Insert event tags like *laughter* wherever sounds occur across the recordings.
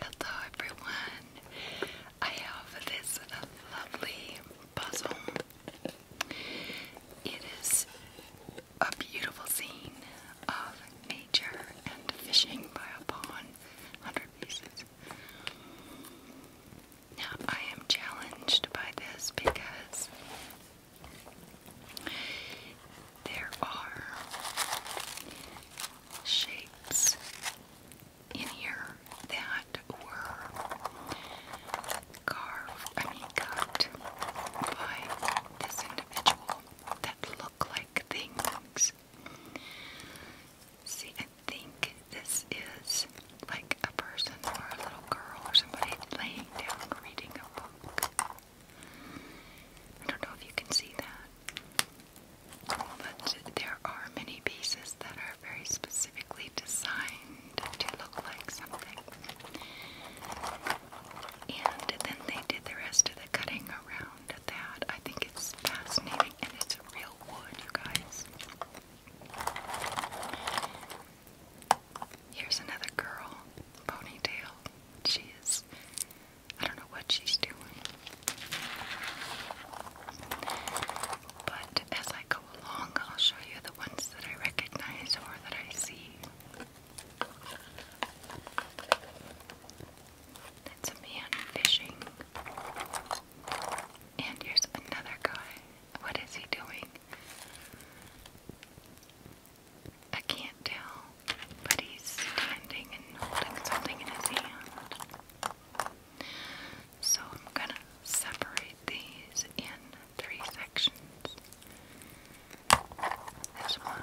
Hello everyone. I have this lovely puzzle. It is a beautiful scene of nature and fishing by a pond, 100 pieces. Now, I am challenged by this because there are shapes in here that were carved, I cut by this individual that look like things. See, I think this is like a person or a little girl or somebody laying down reading a book. I don't know if you can see that. But there are many pieces that are very specifically designed to look like something. And then they did the rest of the cutting around that. I think it's fascinating and it's real wood, you guys. Here's another girl, ponytail. She is, I don't know what she's doing. But as I go along, I'll show you the ones that I recognize or that I see. That's a man fishing. And here's another guy. What is he doing? I can't tell, but he's standing and holding something in his hand. So I'm gonna separate these in three sections. This one,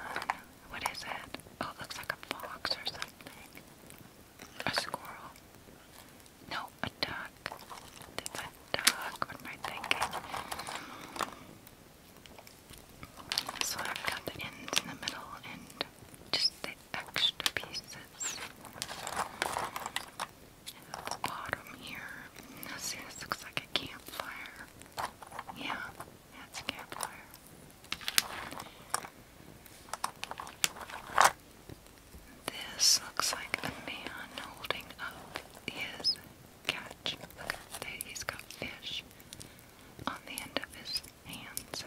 what is it? Oh, looks like a fox or something. A squirrel. No, a duck. That's a What am I thinking? So I've got the ends in the middle and just the extra pieces. bottom here. Now see, this looks like a campfire. Yeah, that's a campfire. This looks like a man holding up his catch. Look he's got fish on the end of his hands.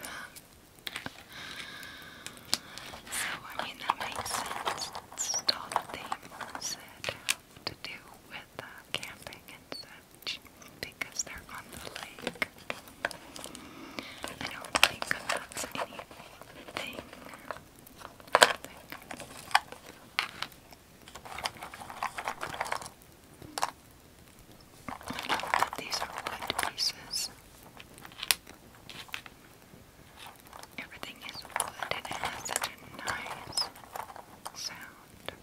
So, I mean, that makes sense. It's all the that have to do with uh, camping and such because they're on the lake. I don't think that's anything I know these are wood pieces. Everything is wood and it has such a nice sound.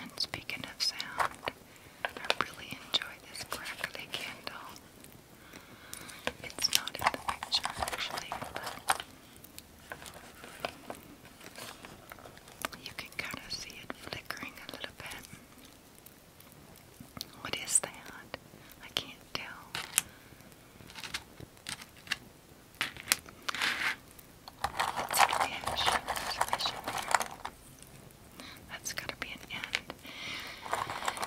And speaking of sound, I really enjoy this crackly candle. It's not in the picture actually, but you can kind of see it flickering a little bit. What is that? I can't tell. Let's see if that's going to be an end.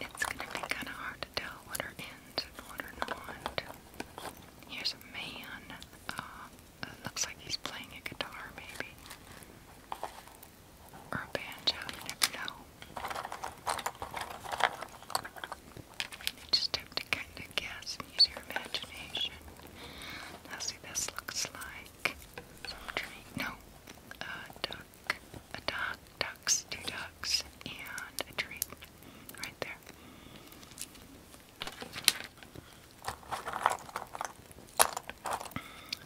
It's gonna be kinda hard to tell what are ends and what are not. Here's a man. Uh, looks like he's playing a guitar, maybe. Or a banjo, you never know. You just have to kinda guess and use your imagination. Now this looks like some tree. No, uh, a duck, ducks, two ducks, and a tree right there.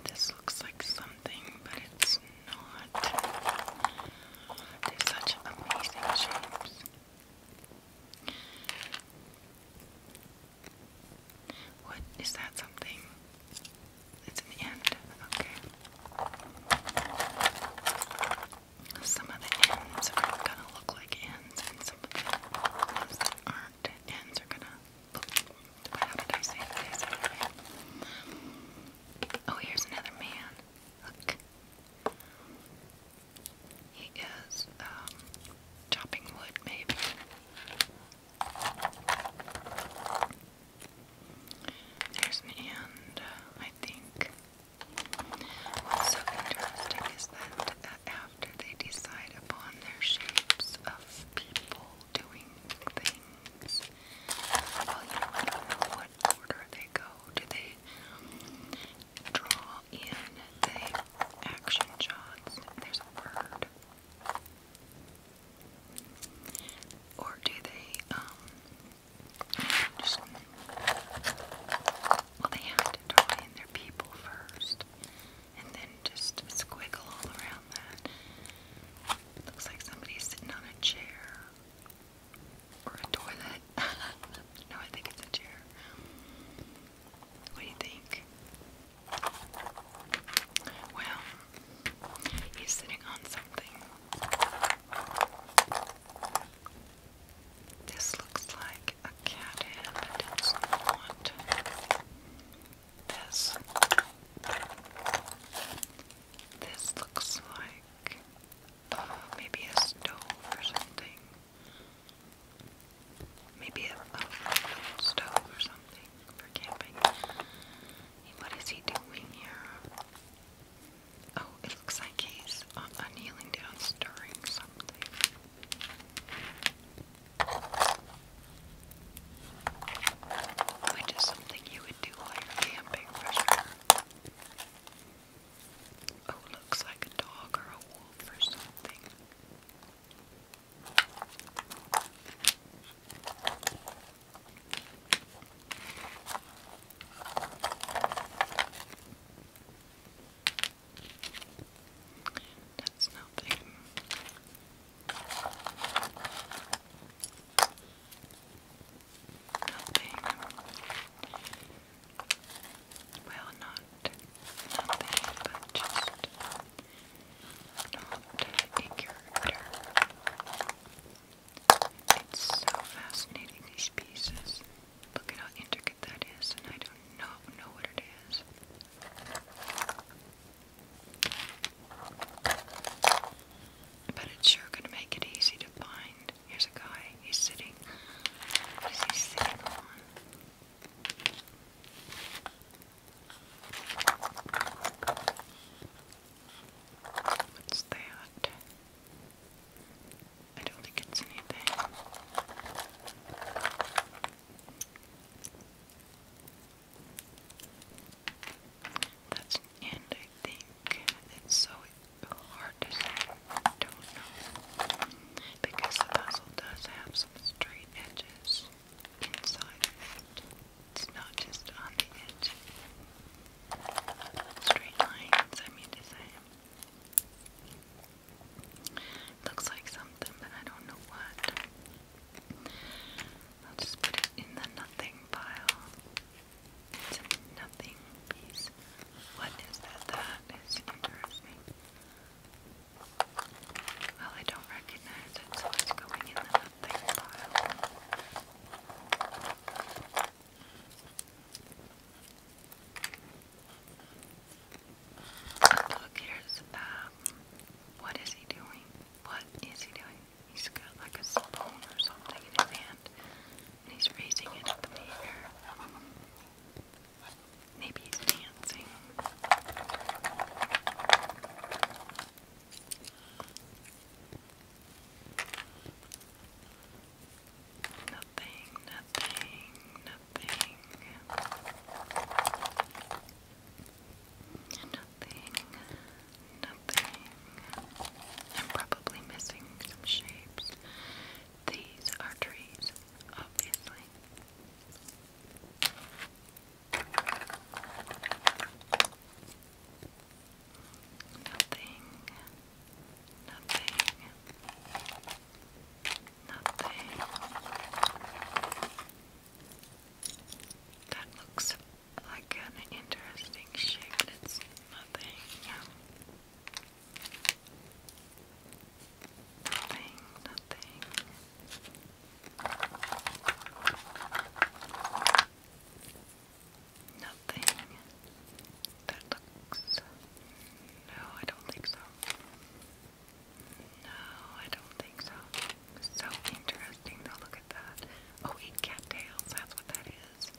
This looks like something, but it's not. They're such amazing shapes. What is that something? It's an end. Okay. Some of the ends are gonna look like ends, and some of the aren't ends are gonna. Oh, here's another man. Look. He is um, chopping wood, maybe. There's me, and I think what's so interesting is that uh, after they decide upon their shapes of people doing things, well, you know, what order they go. Do they draw in the action shots? There's a word. Or do they, um, just, well, they have to draw in their people first, and then just squiggle all around that. Looks like somebody's sitting on a chair, or a toilet. *laughs* no, I think it's a chair. What do you think? Well, he's sitting on something. This looks like a cat hand, but it's not. This. This looks like uh, maybe a stove or something. Maybe a stove or something for camping. What is he doing here? Oh, it looks like he's uh, kneeling down stirring something. Which is something you would do while you camping for Oh, looks like a dog or a wolf or something. That's nothing. Nothing. Well, not nothing, but just not a character. It's so fascinating, these pieces. Look at how intricate that is, and I don't know, know what it is. But it's sure gonna make it easy to find. Here's a guy, he's sitting. What is he sitting on? What's that? I don't think it's anything. That's an end, I think. It's so hard to say. I don't know. Because the puzzle does have some straight edges inside It's not just on the edge. Uh, straight lines, I mean to say. Looks like something, but I don't know what. I'll just put it in the nothing pile. It's a nothing piece. What is that? That is interesting. Well, I don't making noise, it's always going in the nothing pile. Look, here's, um, what is he doing? What is he doing? He's got like a spoon or something in his hand, and he's raising it at the mirror. Maybe he's dancing. Nothing, nothing, nothing. Nothing, nothing. I'm probably missing some shapes. These are trees, obviously. Nothing. Nothing. Nothing. That looks like an interesting shape. It's nothing. Nothing. Nothing. Nothing that looks. No, I don't think so. No, I don't think so. So interesting though, look at that. Oh, eight cattails, that's what that is.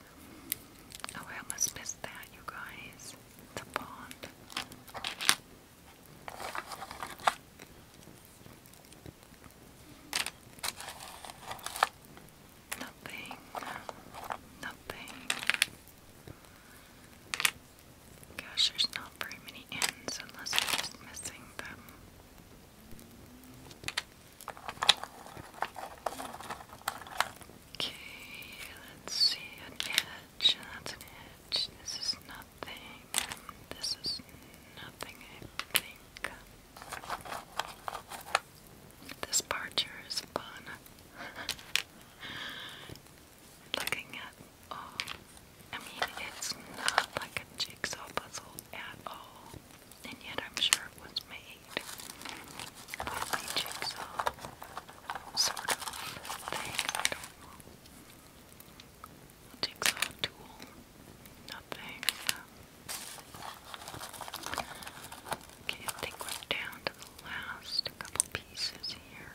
Oh, I almost missed that, you guys. The pond. Nothing. Nothing. Gosh, there's not very many ends unless we're just missing them. Okay, let's see an edge. That's an edge. This is nothing. This is nothing, I think. This part sure is fun. *laughs* Looking at oh, I mean, it's not like a jigsaw puzzle at all, and yet I'm sure it was made with a jigsaw sort of thing. Jigsaw tool. Nothing. Okay, I think we're down to the last couple pieces here.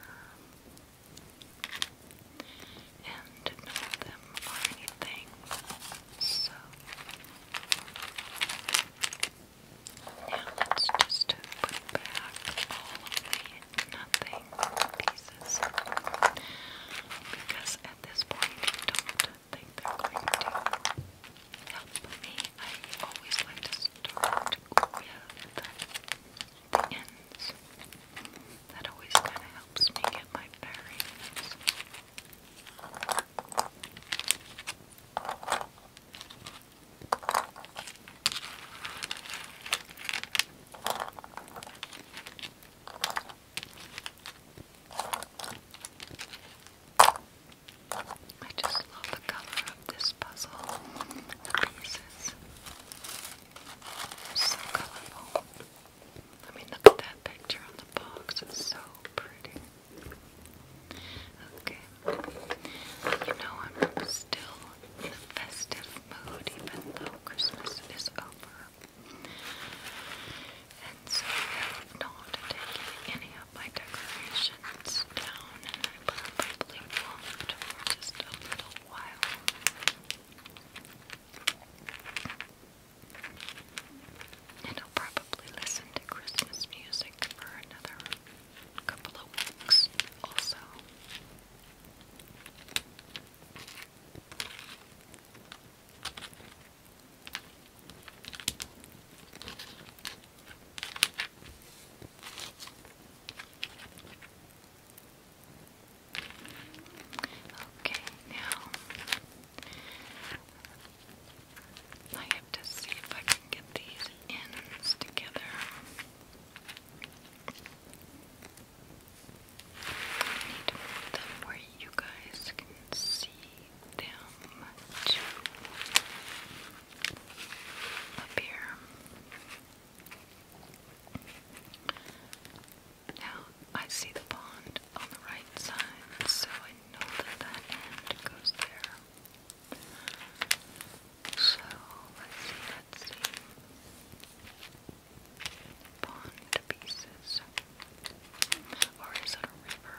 And none of them are anything. So now let's just put back all of the nothing pieces because at this point don't think they're going to help me. I always like to start with the ends. That always kind of helps me get my bearings. I just love the color of this puzzle pieces. So colorful. I mean, look at that picture on the box. It's so pretty. Okay. You know, I'm still in the festive mood, even though Christmas is over. And so I'm not taking any of my decorations down and I probably won't for just a little while. And I'll probably listen to Christmas music for another couple of weeks also. Okay, now I have to see if I can get these ends together. I need them where you guys can see them too. Up Now I see the pond on the right side, so I know that that end goes there. So let's see. Pawn to pieces. Or is it a river?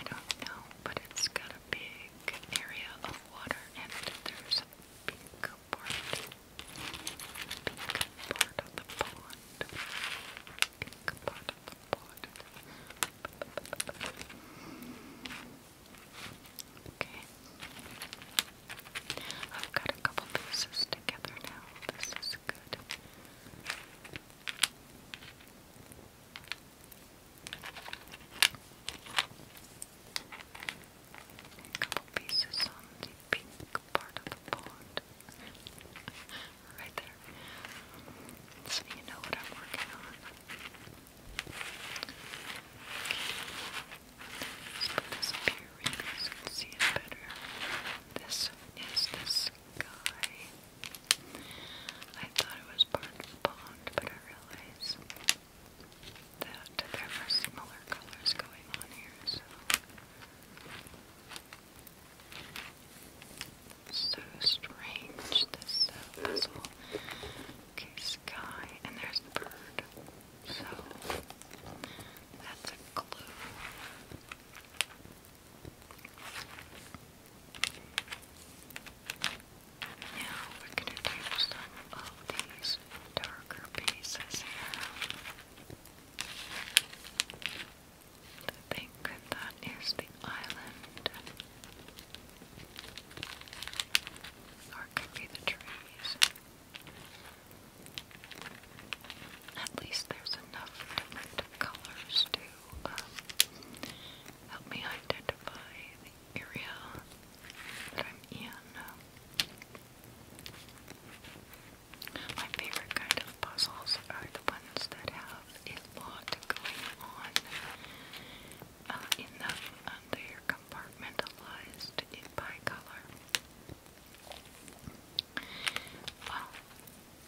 I don't know, but it's got a big area of water and there's a pink part. Pink part of the pond. Pink part of the pond. Okay. I've got a couple pieces together now. This is looks A couple pieces on the pink part of the pond. *laughs* right there. So you know what I'm working on. Let's put this up so you can see it better. This is this guy. I thought it was part of the pond, but I realized that there were smaller colors going on here, so. strange, this uh, puzzle. Okay, sky, and there's the bird. So, that's a clue. Now we're going to do some of these darker pieces here. I think that is the island. Or could be the trees at least there's enough different colors to um, help me identify the area that I'm in. My favorite kind of puzzles are the ones that have a lot going on uh, in them. Um, compartmentalized by color. Well,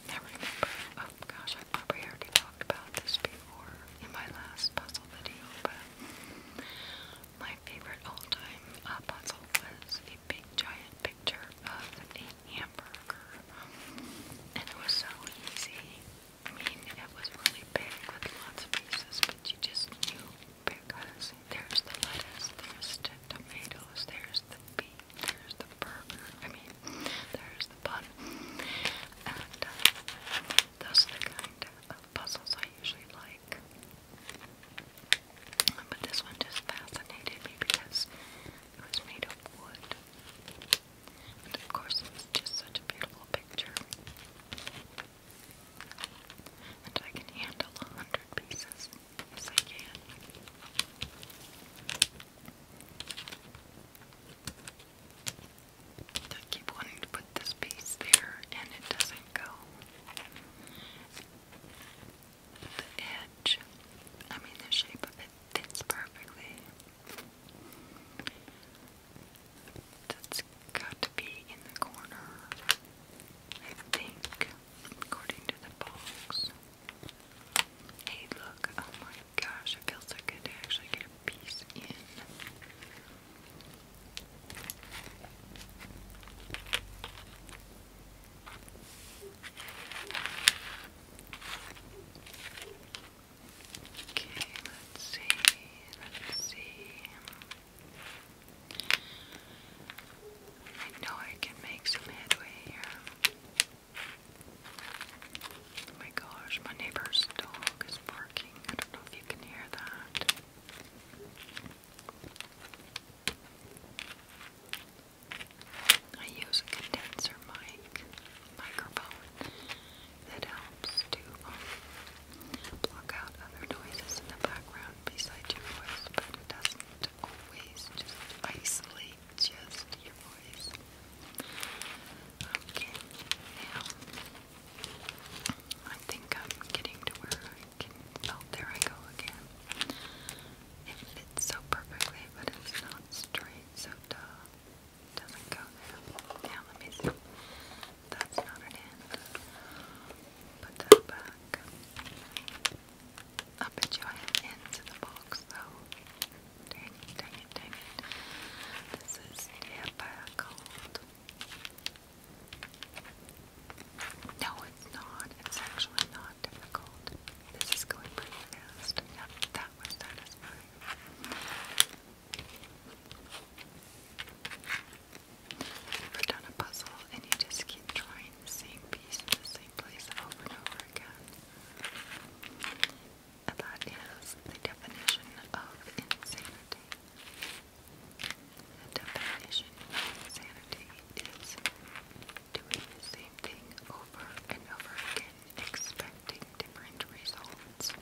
now remember, oh gosh, I probably already talked about this before in my last puzzle video, but my favorite all-time uh, puzzle was a big giant picture of a hamburger, and it was so easy. I mean, it was really big with lots of pieces, but you just knew because there's the lettuce, there's the tomatoes, there's the there's the burger. I mean, there's the bun. And uh, those are the kind of puzzles I usually like. But this one just fascinated me because it was made of wood. And of course, it just such a beautiful picture. And I can handle a hundred pieces. I keep wanting to put this piece there and it doesn't go. The edge, I mean, the shape fits perfectly. That's got to be in the corner, I think according to the box. Hey, look, oh my gosh, it feels so good to actually get a piece in. Okay, let's see, let's see. I know I can make some headway here. Oh my gosh, my neighbor's dog is barking. I don't know if you can hear that. I use a condenser mic microphone that helps to um, block out other noises in the background besides your voice, but it doesn't always just isolate just your voice. Okay, now I think I'm getting to where I can. Oh, there I go again. It fits so perfectly, but it's not straight, so duh. Doesn't go there. Now let me see. That's not an end. Put that back. I'll bet you I am into the box though. Dang it, dang it, dang it. This is Dead by No, it's not. It's actually not difficult. This is going pretty fast. that was satisfying. If you've ever done a puzzle and you just keep trying the same piece and the same same over and over again. And that is the definition of insanity. The definition of insanity is doing the same thing over and over again, expecting different results.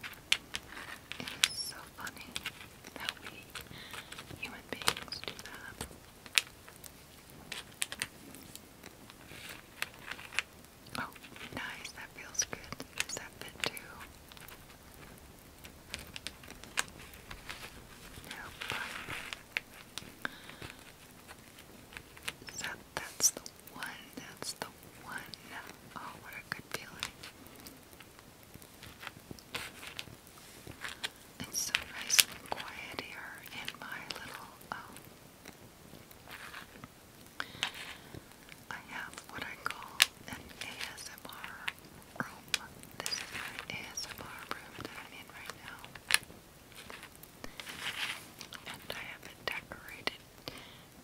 It is so funny that we human beings do that. Oh, nice. That feels good. Does that fit too? Nope. That, that's the one. That's the one. Oh, what a good feeling. It's so nice and quiet here in my little um, I have what I call an ASMR room. This is my ASMR room that I'm in right now. And I have it decorated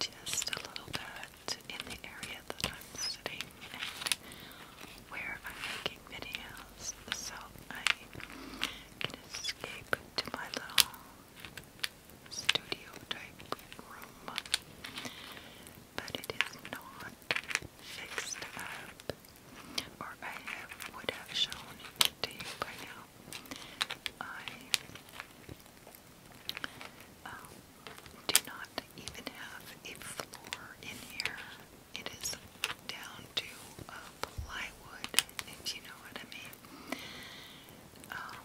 just a little bit in the area that I'm sitting and where I'm making videos. So I can escape to my little studio type room. But it is not fixed up, or I would have shown it to you by now. I um, do not even have a floor in here. It is down to um, plywood, if you know what I mean. Um,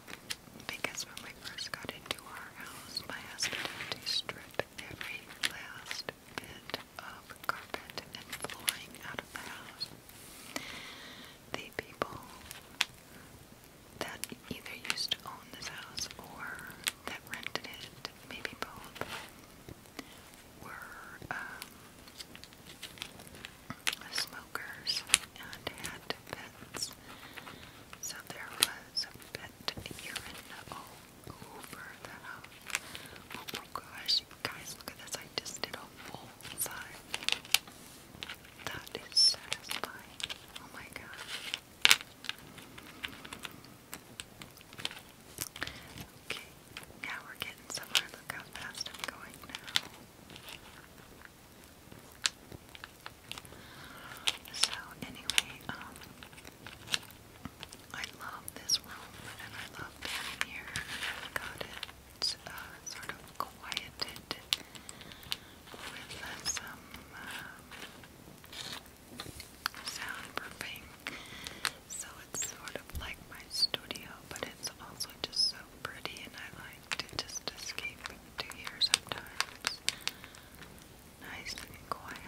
because when we first got into our house, my husband had to strip every last bit of carpet and flooring out of the house. The people that either used to own this house or that rented it, maybe both, were um, smokers and had pets. So there was a pet urine all over the house. Um, oh my gosh, you guys, look at this. I just did a full side. That is satisfying. Oh my gosh. Okay, yeah, we're getting somewhere. Look how fast I'm going now. So anyway, um, I love this room and I love being here. got it uh, sort of quieted with uh, some um, soundproofing. So it's sort of like my studio, but it's also just so pretty, and I like to just escape to here sometimes. Nice and quiet.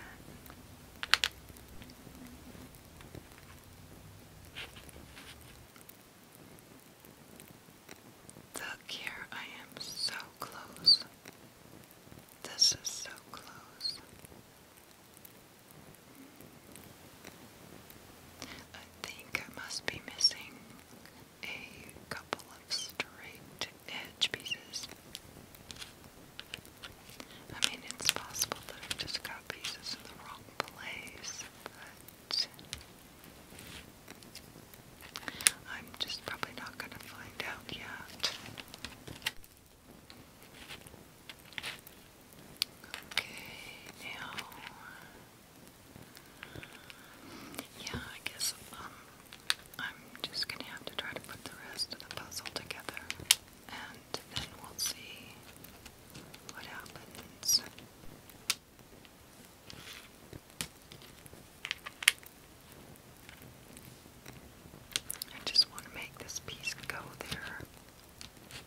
Look here, I am so close. This is so close. I think I must be missing a couple of straight edge pieces. I mean, it's possible that I've just got pieces in the wrong place, but I'm just probably not going to find out yet. Okay, now, yeah, I guess um, I'm just gonna have to try to put the rest of the puzzle together, and then we'll see what happens. I just want to make this piece go there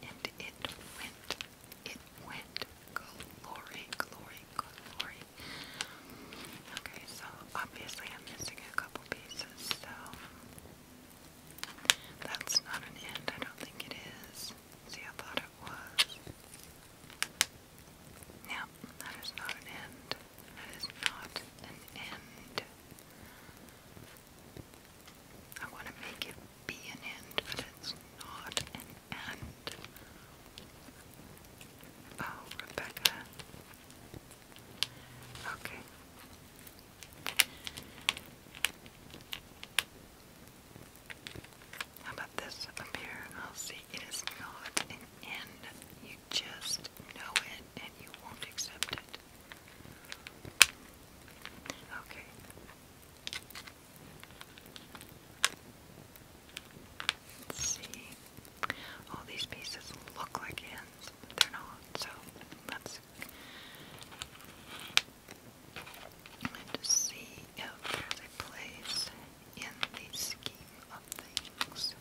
and it went, it went glory, glory, glory. Okay, so obviously I'm missing a couple pieces, so that's not an end. I don't think it is. See, I thought it was. No, that is not an end. That is not an end. I want to make it be an end, but it's not an end. Oh, Rebecca. Okay. How about this up here? I'll see. It is not an end. You just know it and you won't accept it. Okay. Let's see. All these pieces look like ends, they're not, so let's see if there's a place in this scheme of things.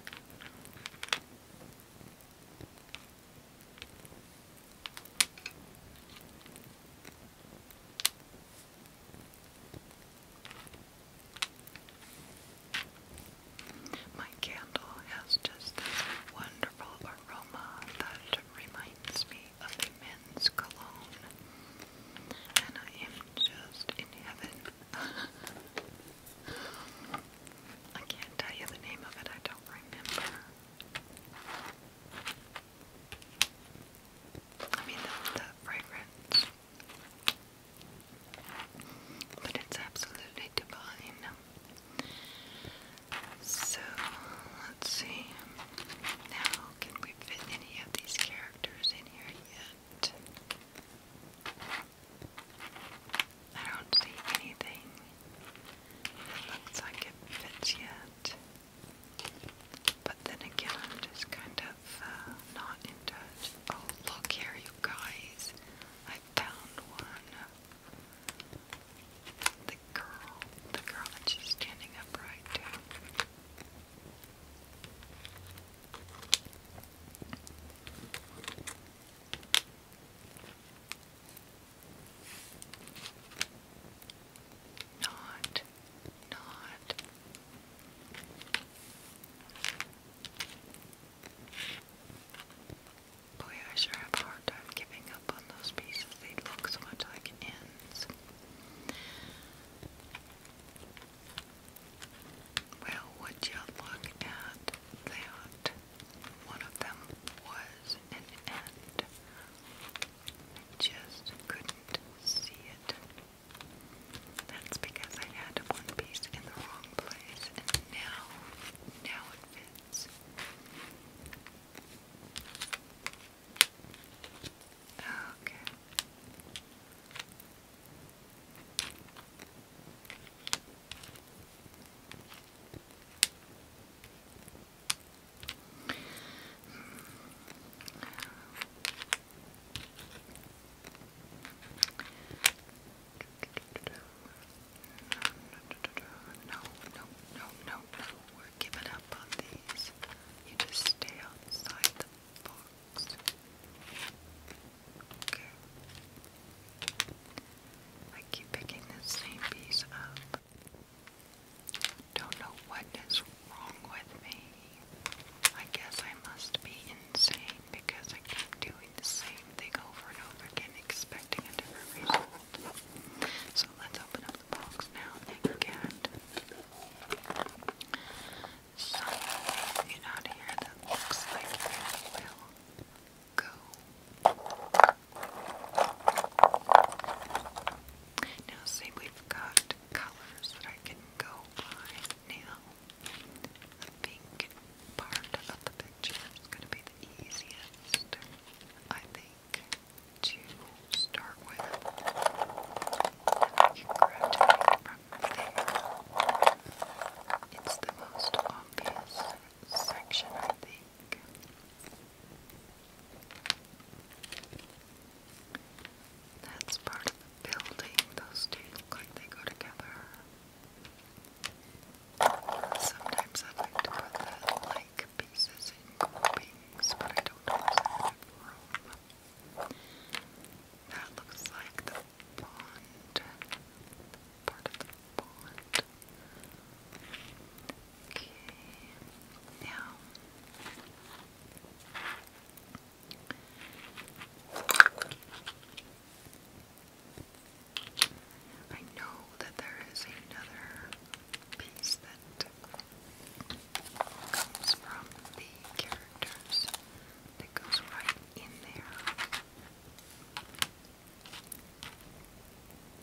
My candle has just this wonderful aroma that reminds me of a men's cologne, and I am just in heaven. *laughs* I can't tell you the name of it, I don't remember. I mean, the, the fragrance. But it's absolutely divine. So, let's see. Now, can we fit any of these characters in here yet? I don't see anything that like it fits yet. But then again, I'm just kind of uh, not in Oh, look here, you guys. I found one. The girl. The girl that she's standing upright not, not. Boy, I sure have a hard time giving up on those pieces. They look so much like ends. Well, would you look at that? One of them was an end just couldn't see it. That's because I had one piece in the wrong place, and now, now it fits. Okay. No, no, no, no, no. We're giving up on these. You just stay outside the box. Okay. I keep picking the same piece up. Don't know what is wrong with me. I guess I must be insane because I keep doing the same thing over and over again, expecting a different result. So let's open up the box now and get something out of here that looks like it will go. Now see, we've got colors that I can go by now. The pink part of the picture is going to be the easiest, I think, to start with. It's the most obvious section, I think. That's part of the building. Those two look like they go together. Sometimes I like to put the like pieces in groupings, but I don't always have room. That looks like the pond. Part of the pond. Okay. Now. I know that there is another piece that comes from the characters that goes right in there.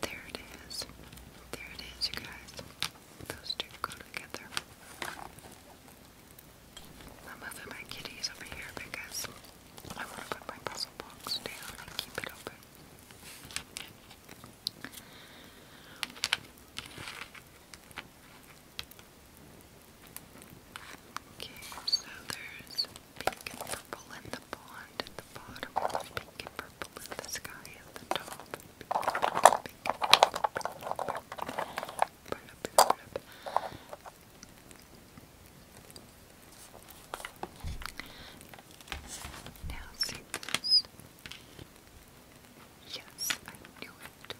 There it is. There it is, you guys. Those two go together. I'm moving my kitties over here because I want to put my puzzle box down and keep it open. Okay, so there's pink and purple in the pond at the bottom. Pink and purple blue, the sky at the top. Now see this. Yes, I knew it.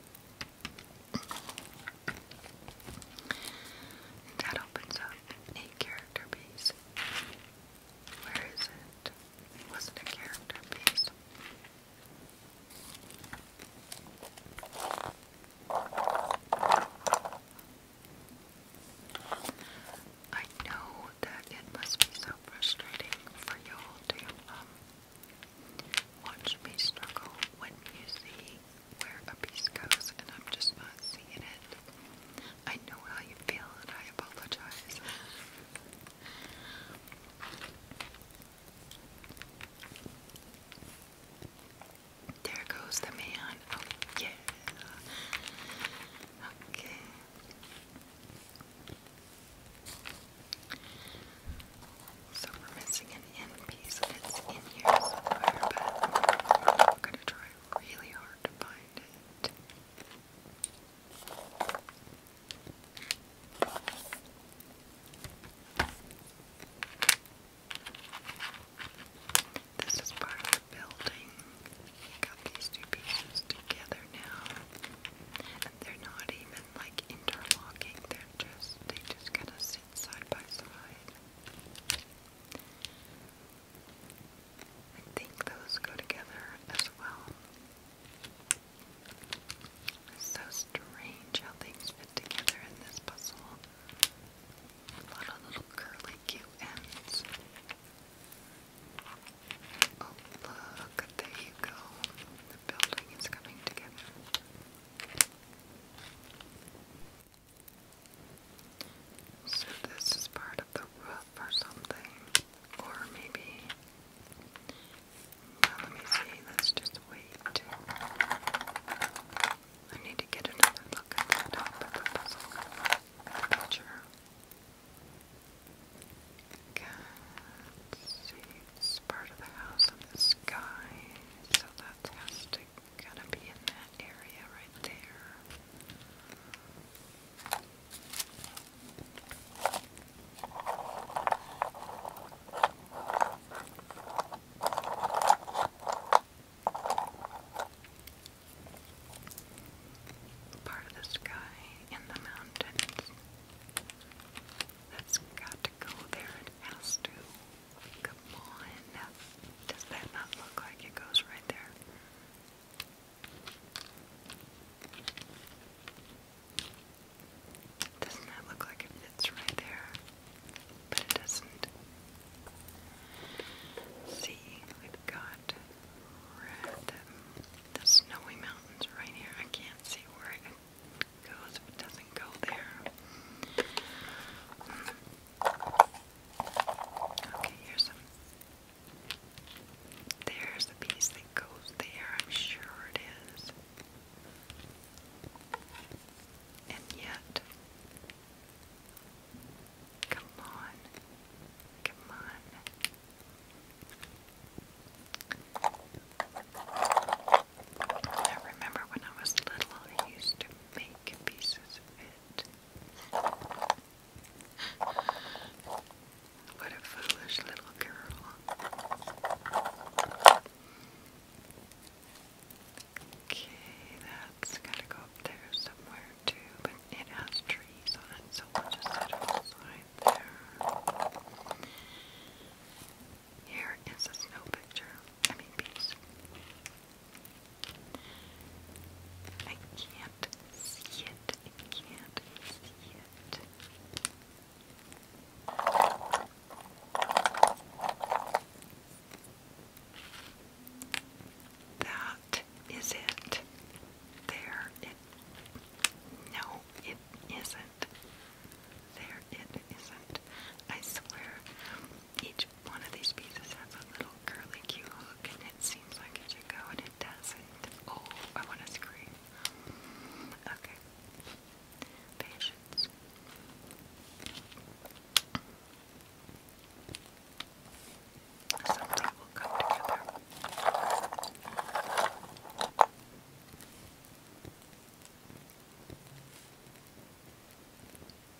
And that opens up a character base. Where is it? wasn't a character piece. I know that it must be so frustrating for y'all to um, watch me struggle when you see where a piece goes and I'm just not seeing it. I know how you feel and I apologize. *laughs* There goes the man. Oh, yeah. Okay. So we're missing an end piece that's in here somewhere, I'm gonna try really hard to find it. This is part of the building. Got these two pieces together now. they're not even like interlocking, they're just they just kind of sit side by side. I think those go together as well. It's so strange how things fit together in this puzzle. A lot of little curly Q ends. Oh, look, there you go. The building is coming together. So, this is part of the roof or something. Or maybe. let me see. Let's just wait. I need to get another look at the top of the puzzle. picture. Okay. see. It's part of the house of the sky. So that has to kind of be in that area right there. Part of the sky in the mountains. That's got to go there. It has to. Come on. Does that not look like it goes right there? Doesn't that look like it right there? But it doesn't. See, we've got red, the, snowy mountains right here. I can't see where it goes if it doesn't go there. Okay, here's some there's a piece that goes there, I'm sure it is. And yet, come on, come on. I remember when I was little, I used to make pieces of it. What a foolish little girl. Okay, that's gotta go up there somewhere too, but it has trees on it, so we'll just set it aside there. Here is a snow picture. I mean piece. I can't see it. I can't see it. That is it. There it. No, it isn't. There it isn't. I swear, each one of these pieces has a little curly cue hook, and it seems like it should go, and it doesn't. Oh, I want to scream. Okay. Patience. Something will come together.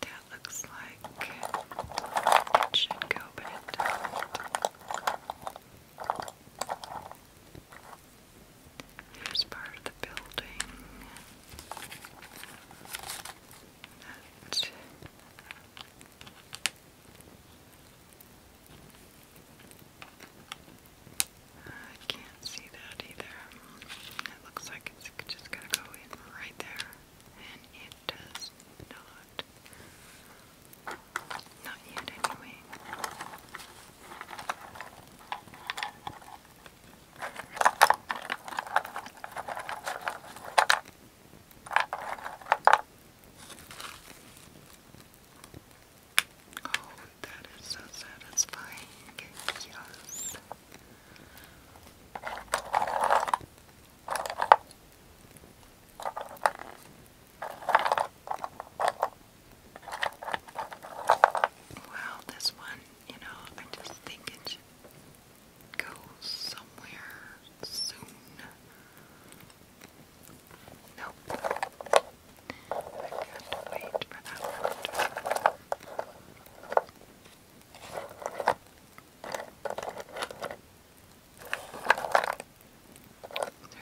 That looks like it should go, but it doesn't. Here's part of the building I can't see that either. It looks like it's just gonna go in right there, and it does not. Not yet, anyway. Oh, that is so satisfying. Yes. Wow, this one, you know, I just think it should somewhere soon. Nope. I've to wait for that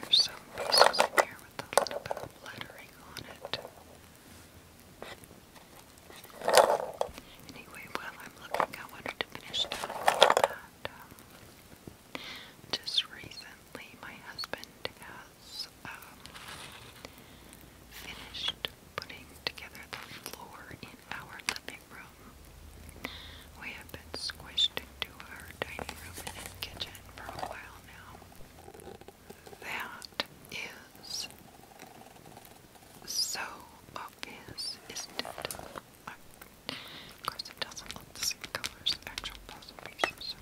there's some pieces in here with a little bit of lettering on it. Anyway, while I'm looking, I wanted to finish um, just recently my husband has um, finished putting together the floor in our living room have been squished into our dining room and kitchen for a while now. That is so obvious, isn't it? of course, it doesn't look the same color as actual puzzle pieces.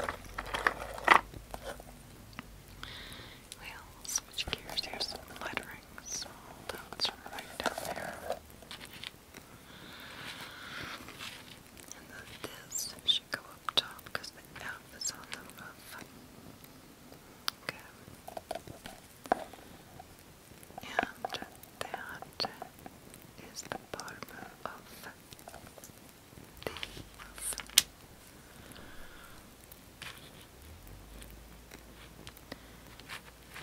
Well, switch gears. Here's some lettering. Small notes right down there. And the this should go up top because the F is on the roof. Okay. And that is the bottom of the roof.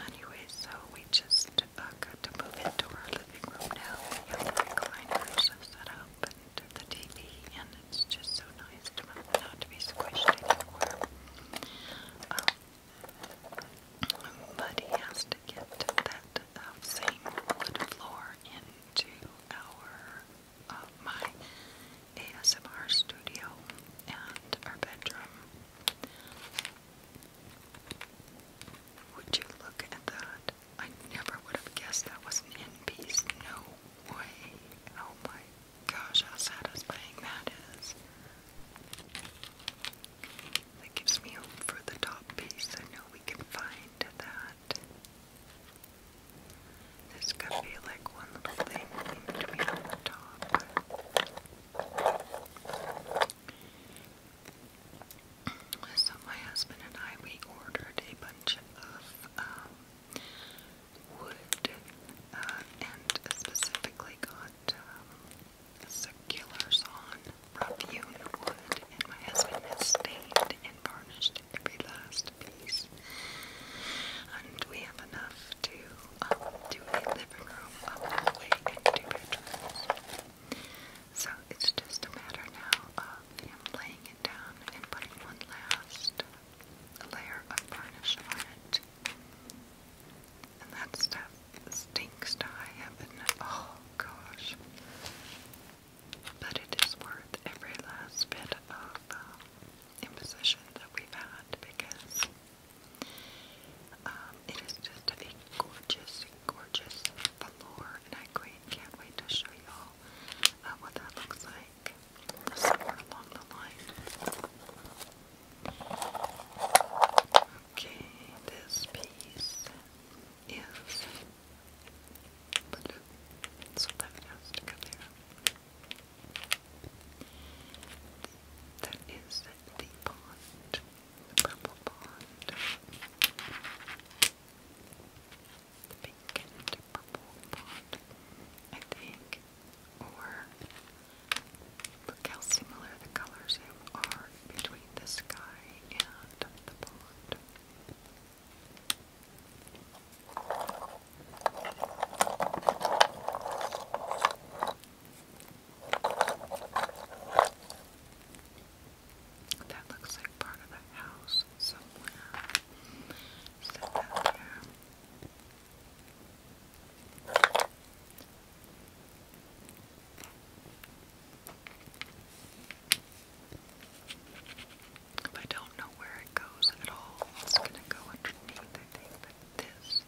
Anyway, so we just uh, got to move into our living room now. We have the recliners set up and the TV, and it's just so nice to not be squished anymore. Um, but he has to get that um, same wood floor into our uh, my ASMR studio and our bedroom. Would you look at that? I never would have guessed that was an end piece. No way. Oh my gosh, how satisfying that is. That gives me hope for the top piece. I know we can find that. There's to be like one little thing in between on the top. So my husband and I we ordered a bunch of um, wood uh, and specifically got um, circulars on wood, and my husband has stained and varnished every last piece. And we have enough to um, do a living room, a hallway, and two bedrooms. So it's just a matter now of him laying it down and putting one last layer of varnish on it. And that stuff stinks to high heaven. Oh gosh. But it is worth every last bit of um, imposition that we've had because um, it is just a gorgeous, gorgeous velour and I and can't wait to show y'all uh, what that looks like. Okay, this piece is blue, so that has to That is the pond, purple pond the pink and purple font, I think. Or look how similar the colors are between the sky and the pond. That looks like part of the house somewhere. Is that there? I don't know where it goes at all. It's going to go underneath, I think. But this is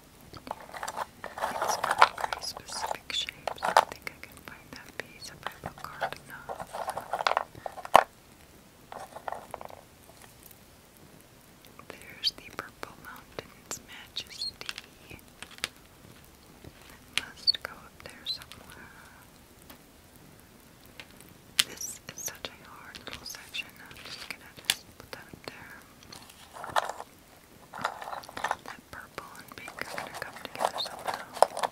very specific shapes. I think I can find that piece if I look hard enough. There's the Purple Mountain's Majesty. It must go up there somewhere. This is such a hard little section. I'm just gonna put that up there. That purple and pink are gonna come together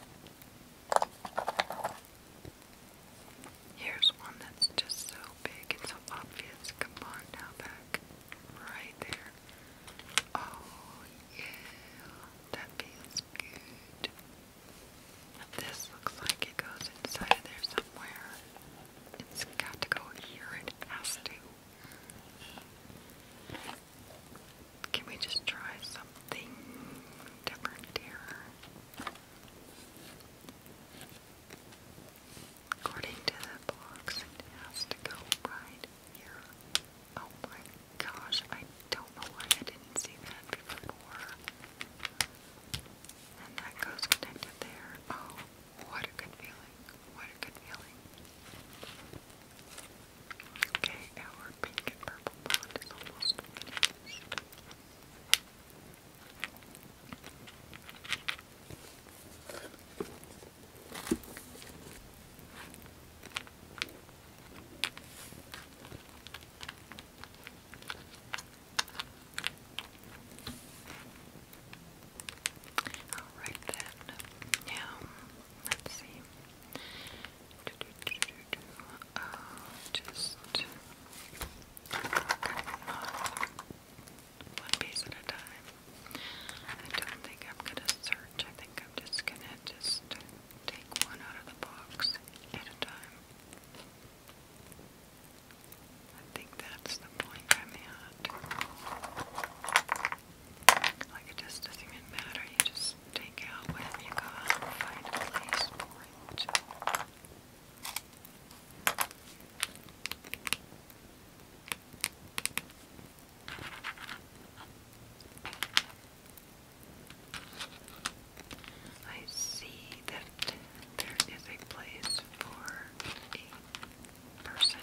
Here's one that's just so big and so obvious. Come on now back. Right there. Oh yeah. That feels good. This looks like it goes inside there somewhere. It's got to go here. It has to. Can we just try something different here? According to the box, it has to go right here. Oh my gosh, I don't know why I didn't see that before. And that goes connected there. Oh, what a good feeling. What a Okay, our pink and purple bond is almost finished. Alright then, now let's see. Uh, just one piece at a time. I don't think I'm gonna search. I think I'm just gonna just take one out of the box at a time. I think that's the point I'm at. Like it just doesn't matter. You just take out whatever you got and find a place I see that there is a place for a person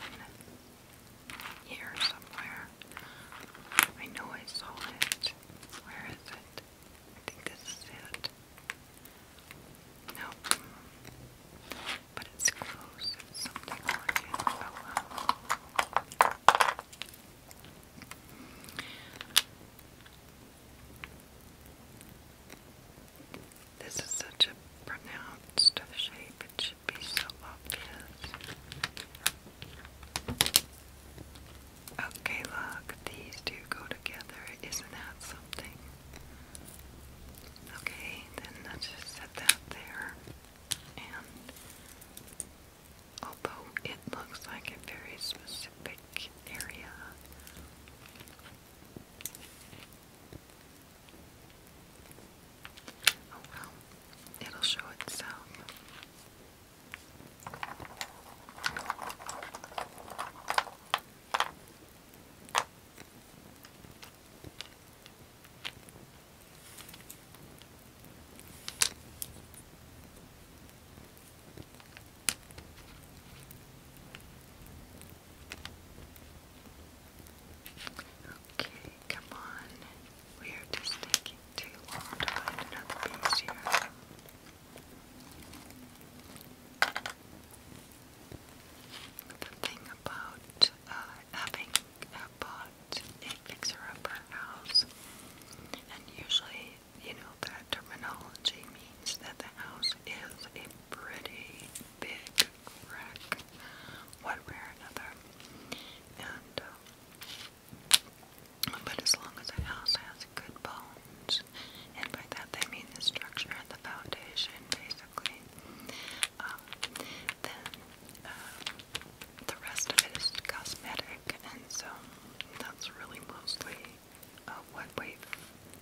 here somewhere. I know I saw it. Where is it? I think this is it. Nope. But it's close. something like oh, This is such a pronounced shape. It be so obvious. Okay, look, these two go together. Isn't that something? Okay, then let's just set that there. And although it looks like a very specific area, Oh, it'll show itself. Okay, come on. We are just taking too long to find another piece here. The thing about uh, having uh, a fixer-upper house, and usually, you know, that terminology means that the house is a pretty big wreck one way or another. And, uh, but as long as a house has good bones, and by that they mean the structure and the foundation, basically, um, then uh, the rest of it is cosmetic, and so that's really mostly uh, what we've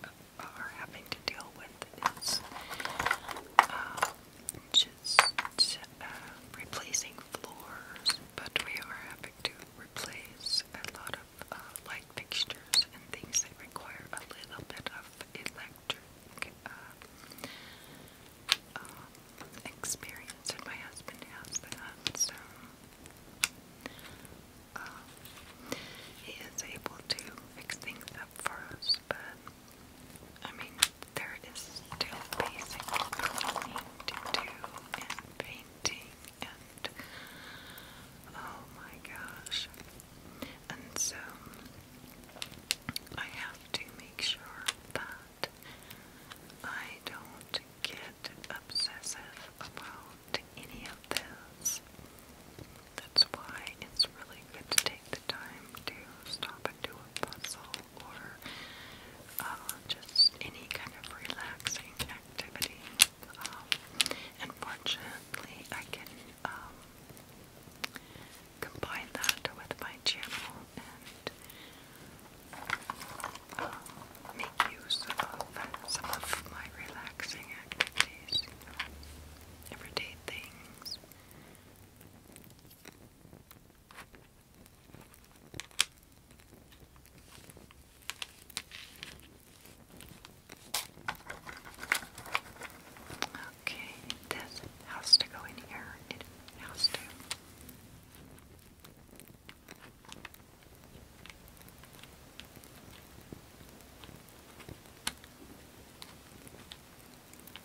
uh, are having to deal with is uh, just uh, replacing floors, but we are having to replace a lot of uh, light fixtures and things that require a little bit of electric uh, um, experience, and my husband has that, so um, he is able to fix things up for us, but I mean, there is still basic cleaning to do and painting and oh my gosh. And so I have to make sure that I don't get obsessive about any of this. That's why it's really good to take the time to stop and do a puzzle or uh, just any kind of relaxing activity. Um, unfortunately, I can um, combine that with my channel and uh, make use of some of my relaxing activities, everyday things. Okay, this has to go in here. It has to.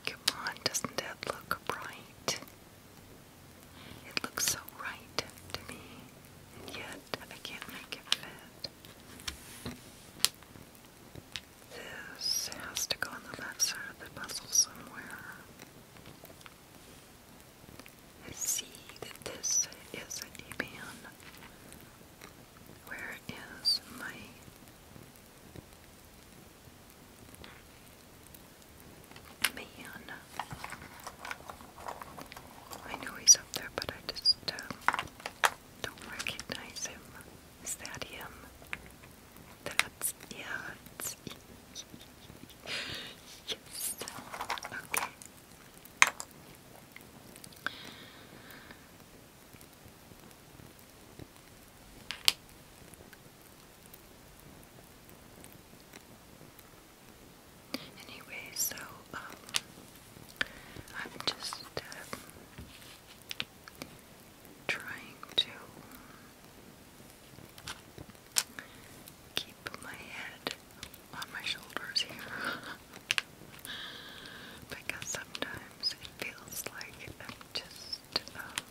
Come on, doesn't that look bright? It looks so right to me, yet I can't make it fit. This has to go on the left side of the puzzle somewhere. I see that this is a D-band. Where is my Man. I know he's up there, but I just um, don't recognize him. Is that him? That's, yeah, yes, okay. Anyway, so um, I'm just um, trying to keep my head on my shoulders here *laughs* because sometimes it feels like I'm just um,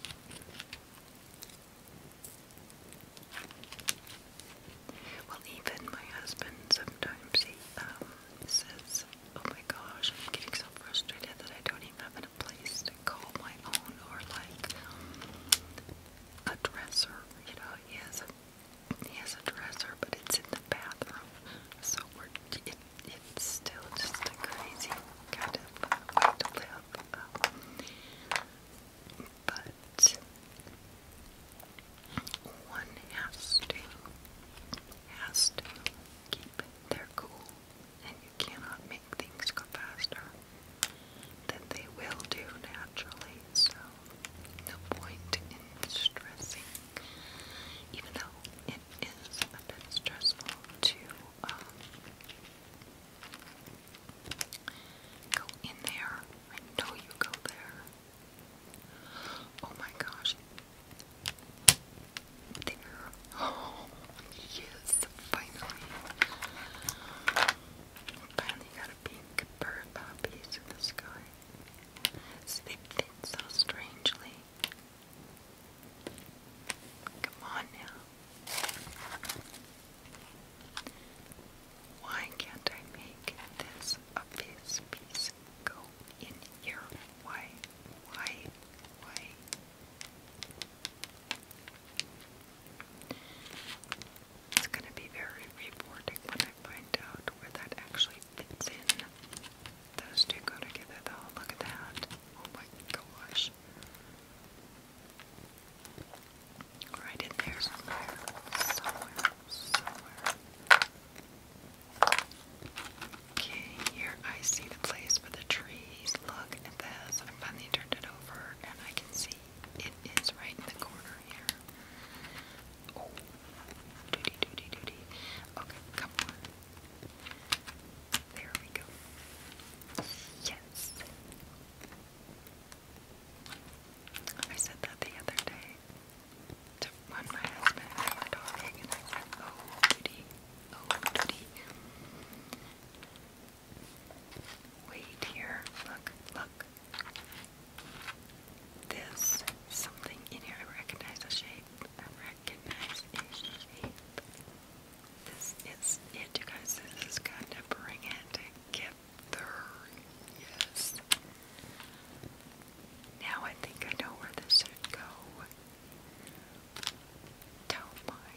well, even my husband sometimes he um, says, "Oh my gosh, I'm getting so frustrated that I don't even have a place to call my own or like a dresser." You know, he has a he has a dresser, but it's in the bathroom, so we're it, it's still just a crazy kind of way to live up, But one has to has to keep their cool, and you cannot make things go faster than they will do naturally. So no point in stressing, even though it is a bit stressful to um, Go in there. I know you go there. Oh my gosh. There. Oh, *gasps* yes, finally. Finally got a pink bird uh, in the sky. So they so strangely. Come on now. Why can't I make this obvious piece go in here? Why? Why? Why? It's going to be very rewarding when I find out where that actually fits in. Those two go together though, look at that. Oh my gosh brush. Right in there somewhere. Okay, here I see the place for the trees. Look at this. I finally turned it over and I can see it is right in the corner here. Oh, duty, duty, duty. Okay, come on. There we go. Yes. I said that the other day to one my husband and my dog, and I said, "Oh, duty, oh, duty." Wait here. Look, look. This something in here. I recognize the shape. I recognize a shape. This is it, you guys. This is gonna bring it together. Yes. Now I think I know where this should go. Oh my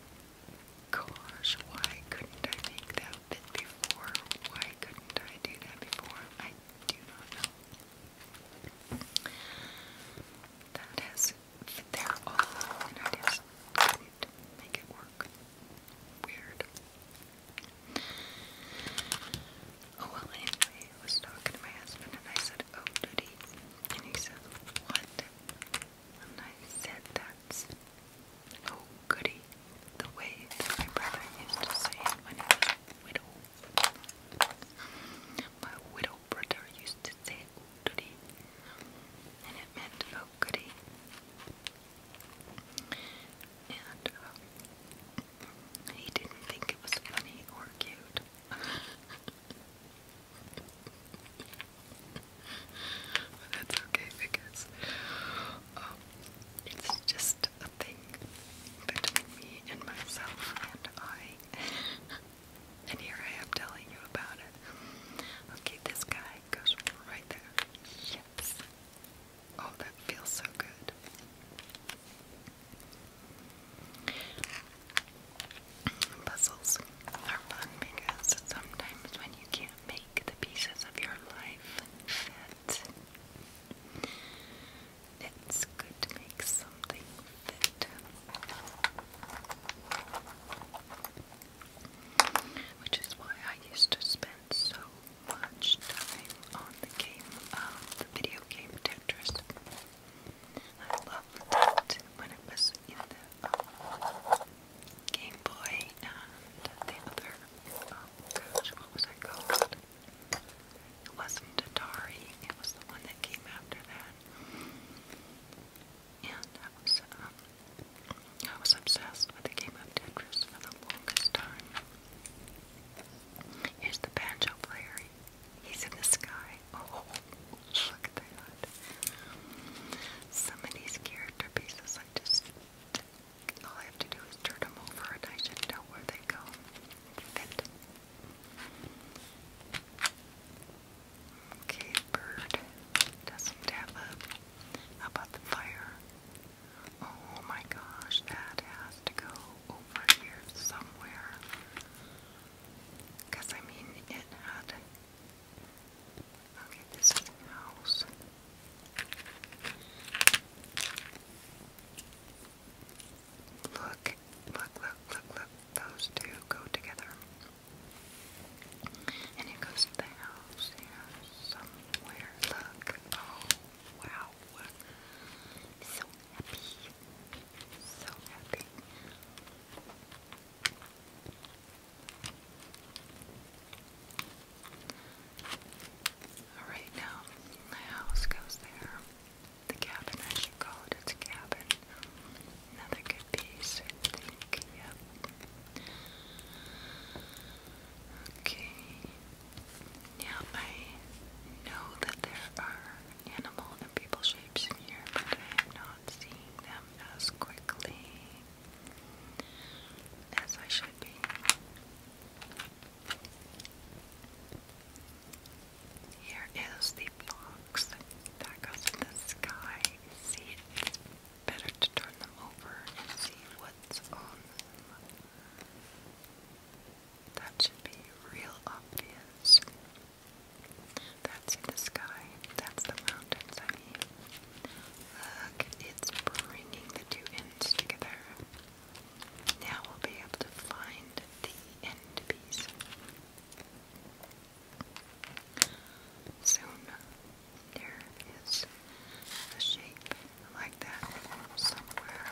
gosh, why couldn't I make that fit before? Why couldn't I do that before? I do not know. That has they're all and I make it work. Weird. Oh well, anyway, I was talking to my husband and I said, "Oh, did And he said, "What?" And I said, "That's oh goody, the way my brother used to say it when widow. My widow brother used to say oodity, and it meant goody. And uh, he didn't think it was funny or cute. *laughs* but okay because um, it's just a thing between me and myself and I. *laughs* And here I am telling you about it. Okay, this guy goes right there. Yes. Oh, that feels so good. Puzzles are fun because sometimes when you can't make the pieces of your life fit, it's good to make something fit. Which is why I used to spend so much time on the game, um, the video game Tetris. I loved that when it was in the um, Game Boy and the other, um, oh gosh, what was I called? It wasn't Atari, it was the one that came after that and I was um, I was obsessed with the game of Tetris for the longest time. Here's the banjo player. He's in the sky. *laughs* Oh, look at that! Some of character pieces, I just all I have to do is turn them over, I should know where they go. Fit. Okay, bird doesn't have a. How about the fire? Oh my gosh, that has to go over here somewhere. Because I mean, it had. Okay, this is the house. Look, look, look, look, look. Those two go together. And it goes to the house, you know, somewhere. Look. Oh, wow. So happy. So happy. Alright, now the house goes there. The cabin, I should call it. It's a cabin. Another good piece, Yep. Okay. Now I know that there are animal and people shapes in here, but I am not seeing them as quickly as I should be. Here is the box that goes in the sky. See, Better to turn them over and see what's on them. That should be real obvious. That's the sky. That's the mountains, Look, it's bringing the two ends together. Now we'll be able to find the end piece. Soon um, there is a shape like that somewhere.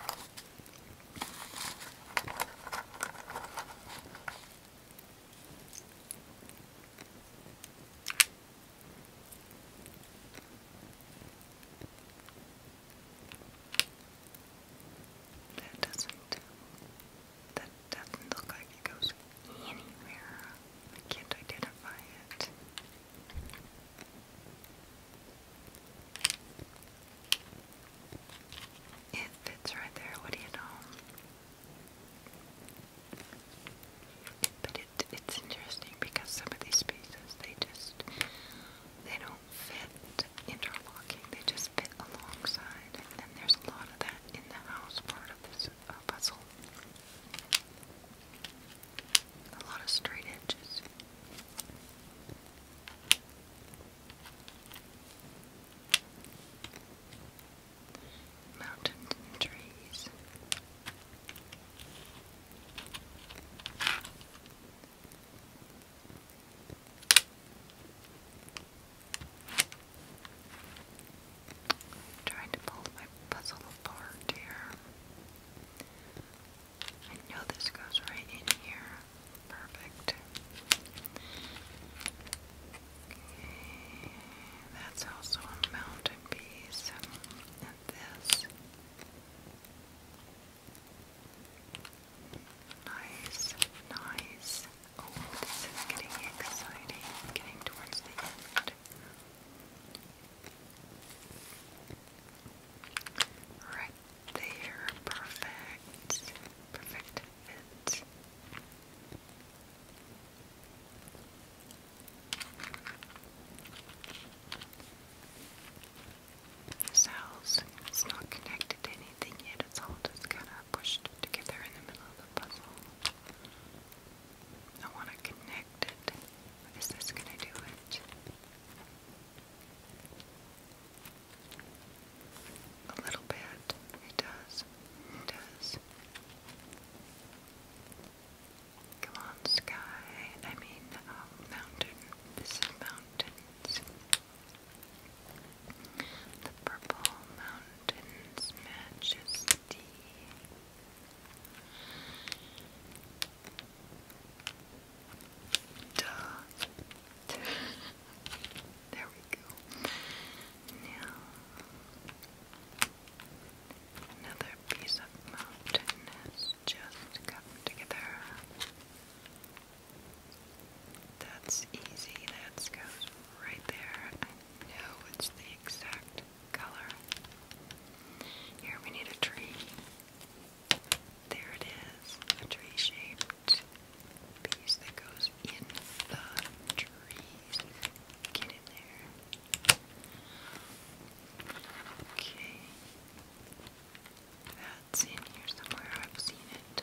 That doesn't that doesn't look like it goes anywhere. I can't identify it. It fits right there, what do you know? But it, it's interesting because some of these pieces, they just, they don't fit interlocking, they just fit alongside. And there's a lot of that in the house part sort of a puzzle. A lot of straight edges. Mountains and trees i trying to pull my puzzle apart here. I know this goes right in here. Perfect. Okay, that's also a mountain piece. And this. Nice, nice. Oh, this is getting exciting, getting towards the end. Right there, perfect, perfect fit. This not connected anything yet, it's all just kind of pushed together in the middle of the puzzle. I want to connect it. Is this going to do it? A little bit. It does. It does. Come on, sky. I mean, um, mountain. mountains. The purple mountain mountain's Duh. *laughs* there we go. Now, another piece of mountain just come together. That's easy. That goes right there. I know it's the exact that color. Here we need a tree. There it is, a tree-shaped piece that goes in the trees. Get in there. Okay. That's in here somewhere. I've seen it.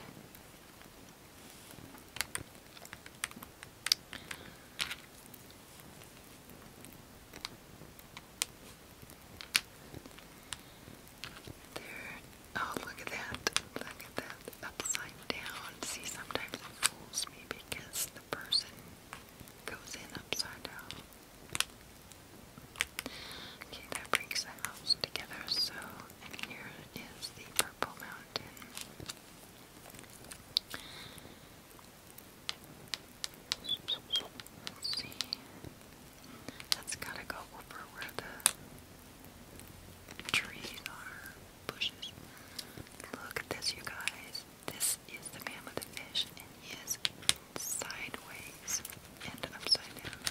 There. Oh, look at that. Look at that. Upside down. See, sometimes it fools me because the person goes in upside down. Okay, that brings the house together. So, here is the purple mountain. Let's see. That's gotta go over where the trees are, Look at this, you guys. This is the man with the fish, and he is sideways and upside down.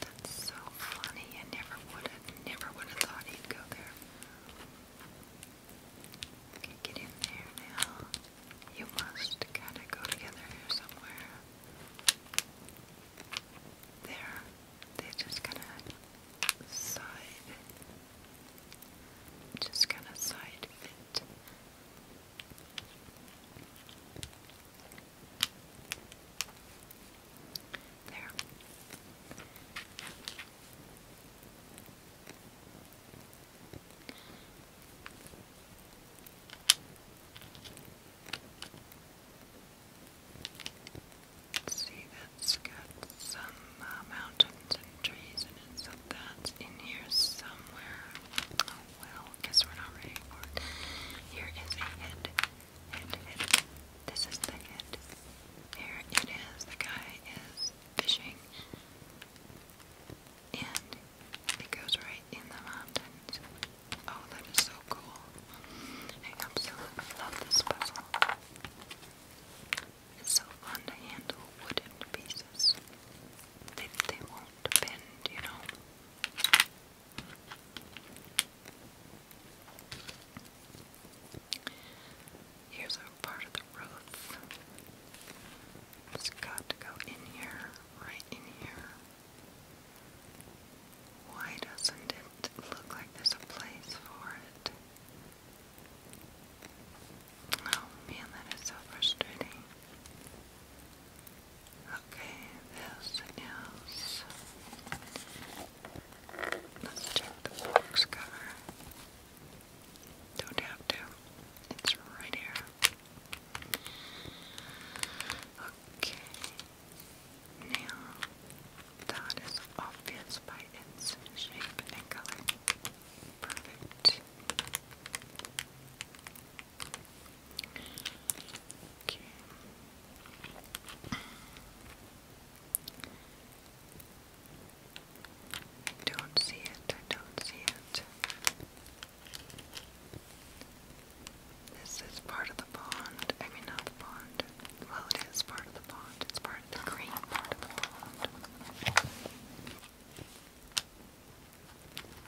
That's so funny. I never would have, never would have thought he'd go there. Okay, get in there now. You must kind of go together here somewhere. There. They just kind of side. Just kind of side fit. There. See, that's got some uh, mountains and trees in it, so that's in here somewhere. Oh, well, guess we're not ready for it. Here is a head. This is Thicket. Here it is. The guy is fishing. And it goes right in the mountains. Oh, that is so cool. I absolutely love this puzzle. It's so fun to handle wooden pieces. They, they won't bend, you know. Here's our part of the roof. it got to go in here, right in here. Why doesn't it look like there's a place for it? Oh man, that is so frustrating. Okay, this is. Let's check the box cover. Don't have to. It's right here. Okay. Now, that is obvious by its shape and color. Perfect. Okay. I don't see it, I don't see it. This is part of the pond. I mean, not the pond. Well, it is part of the pond. It's part of the green part of the pond.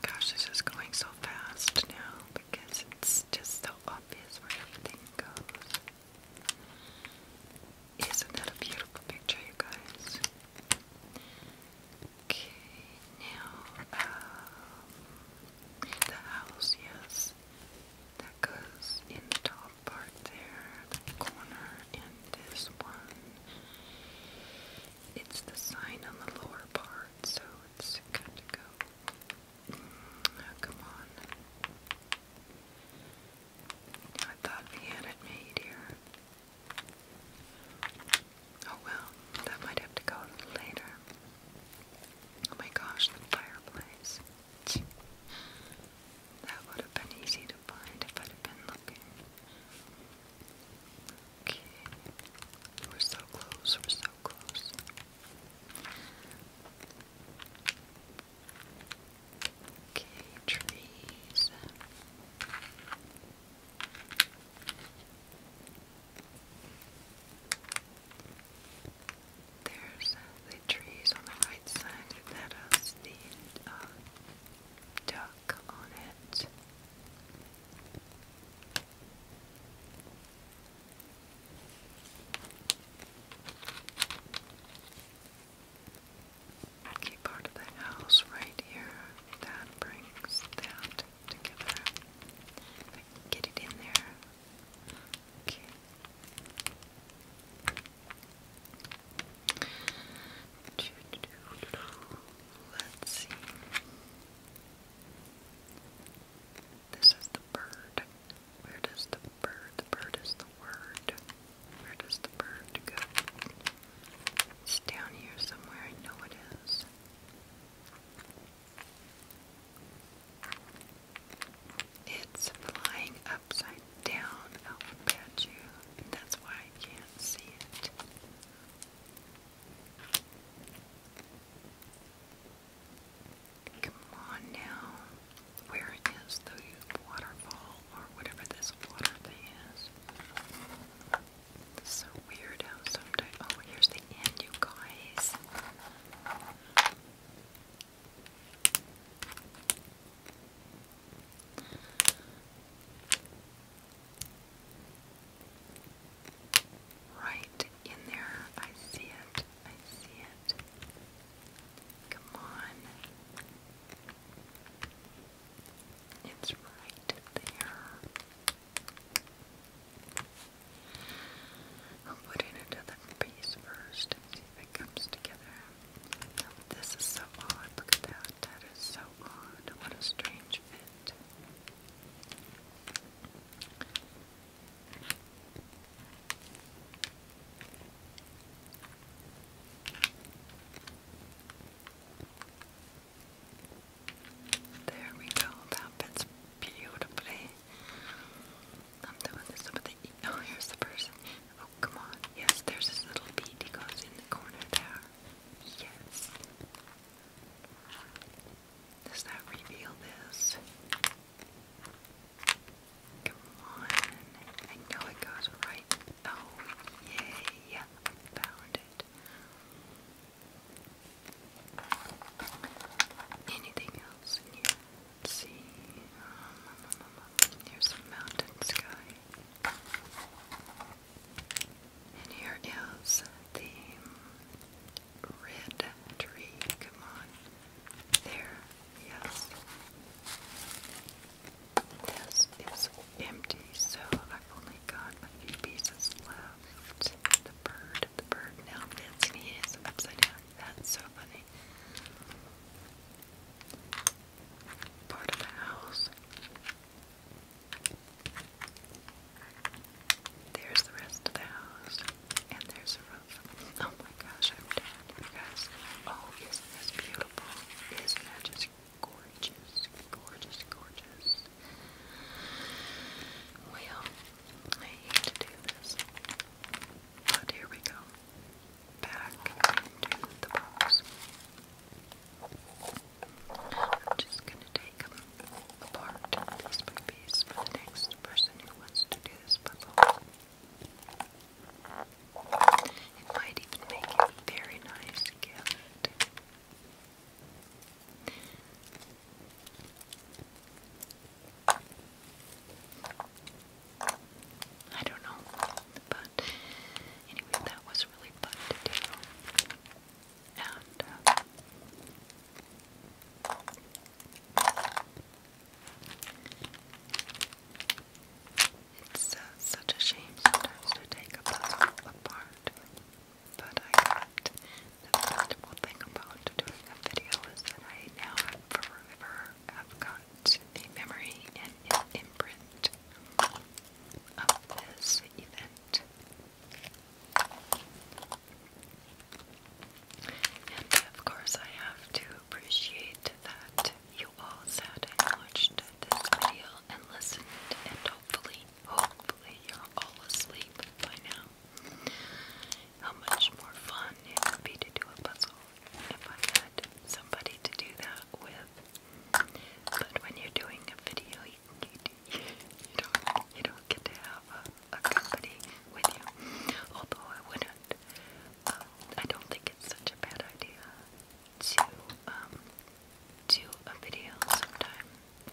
Gosh, this is going so fast now because it's just so obvious where everything goes. Isn't that a beautiful picture, you guys? Okay, now, um, the house, yes, that goes in the top part there, the corner, and this one. It's the sign on the lower part, so it's good to go. Mm, come on. I thought we had it made here. Oh well, that might have to go later. Oh my gosh, the fireplace. That would have been easy to find if I'd been looking. Okay. We're so close, we're so close. Okay, trees. There's uh, the trees on the right side that has uh, the uh, duck on it key part of the house right here that brings that together. get it in there. Okay. Let's see. This is the bird. Where does the bird, the bird is the word. Where does the bird go? It's down here somewhere, I know it is. It's flying upside down, alphabet that's why I can't see it. Come on now where it is, the waterfall, or whatever this water thing is. It's so weird Oh, here's the end, you guys. Right in there. I see it. I see it. Come on. It's right there. I'll put in another piece first and see if it comes together. Oh, this is so odd. Look at that. That is so odd. What a strange fit. There we go. That fits beautifully. I'm doing this with the. oh, here's the person. Oh, come on. Yes, there's this little bead. He goes in the corner there. Yes. Does that reveal this? Come on. I know it goes right. Oh, yay. I found it. Anything else in here? Let's see. Um, here's some mountain sky. And here is the red tree. Come on. There. Yes. This is empty, so I've only got a few pieces left. The bird, the bird now fits and he is upside down. That's so funny. Part of the house. There's the rest of the house, and there's a roof. Oh, my gosh, I'm done, you guys. Oh, isn't beautiful? Isn't that just gorgeous, gorgeous, gorgeous? Well, I hate to do this, but here we go. Back into the box. I'm just going to take apart piece by piece for the next person who wants to do this puzzle. It might even make a very nice I don't know, but anyway, that was really fun to do. Uh, it's uh, such a shame sometimes to take a puzzle apart, but I can the wonderful thing about doing a video is that I now forever have got a memory and an imprint of this event. And of course, I have to appreciate that you all sat and watched this video and listened, and hopefully, hopefully, you're all asleep by now. How much more fun it would be to do a puzzle if I had somebody to do that with. But when you're doing a video, you, don't you don't get to have a, a company with you. Although I wouldn't um, I don't think it's such a bad idea to um, do a video sometime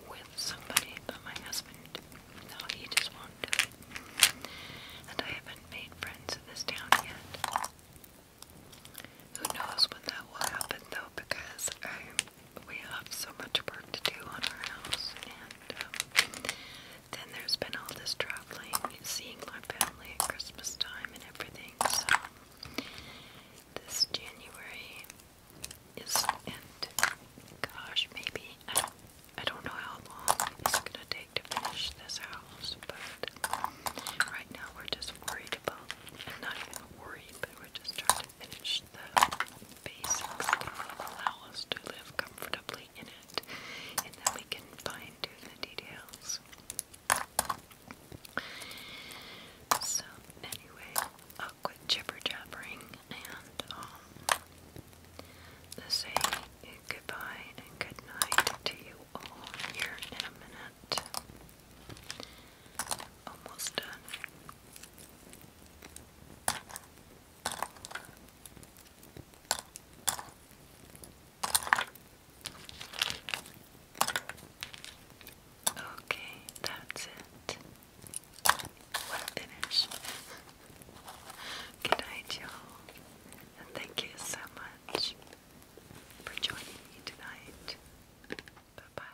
with somebody, but my husband, no, he just won't do it. And I haven't made friends in this town yet. Who knows when that will happen though, because I, we have so much work to do on our house, and um, then there's been all this traveling, seeing my family at Christmas time and everything. So this January is and gosh, maybe I don't know how long it's gonna take to finish this house, but right now we're just worried about and not even worried, but we're just trying to finish the basics to allow us to live comfortably in it and then we can find the details. So, anyway, I'll quit jibber jabbering and um, say goodbye and good to you all here in a Almost done. Okay, that's it. Well finished. Good night, y'all, and thank you so much for joining me tonight. Bye bye.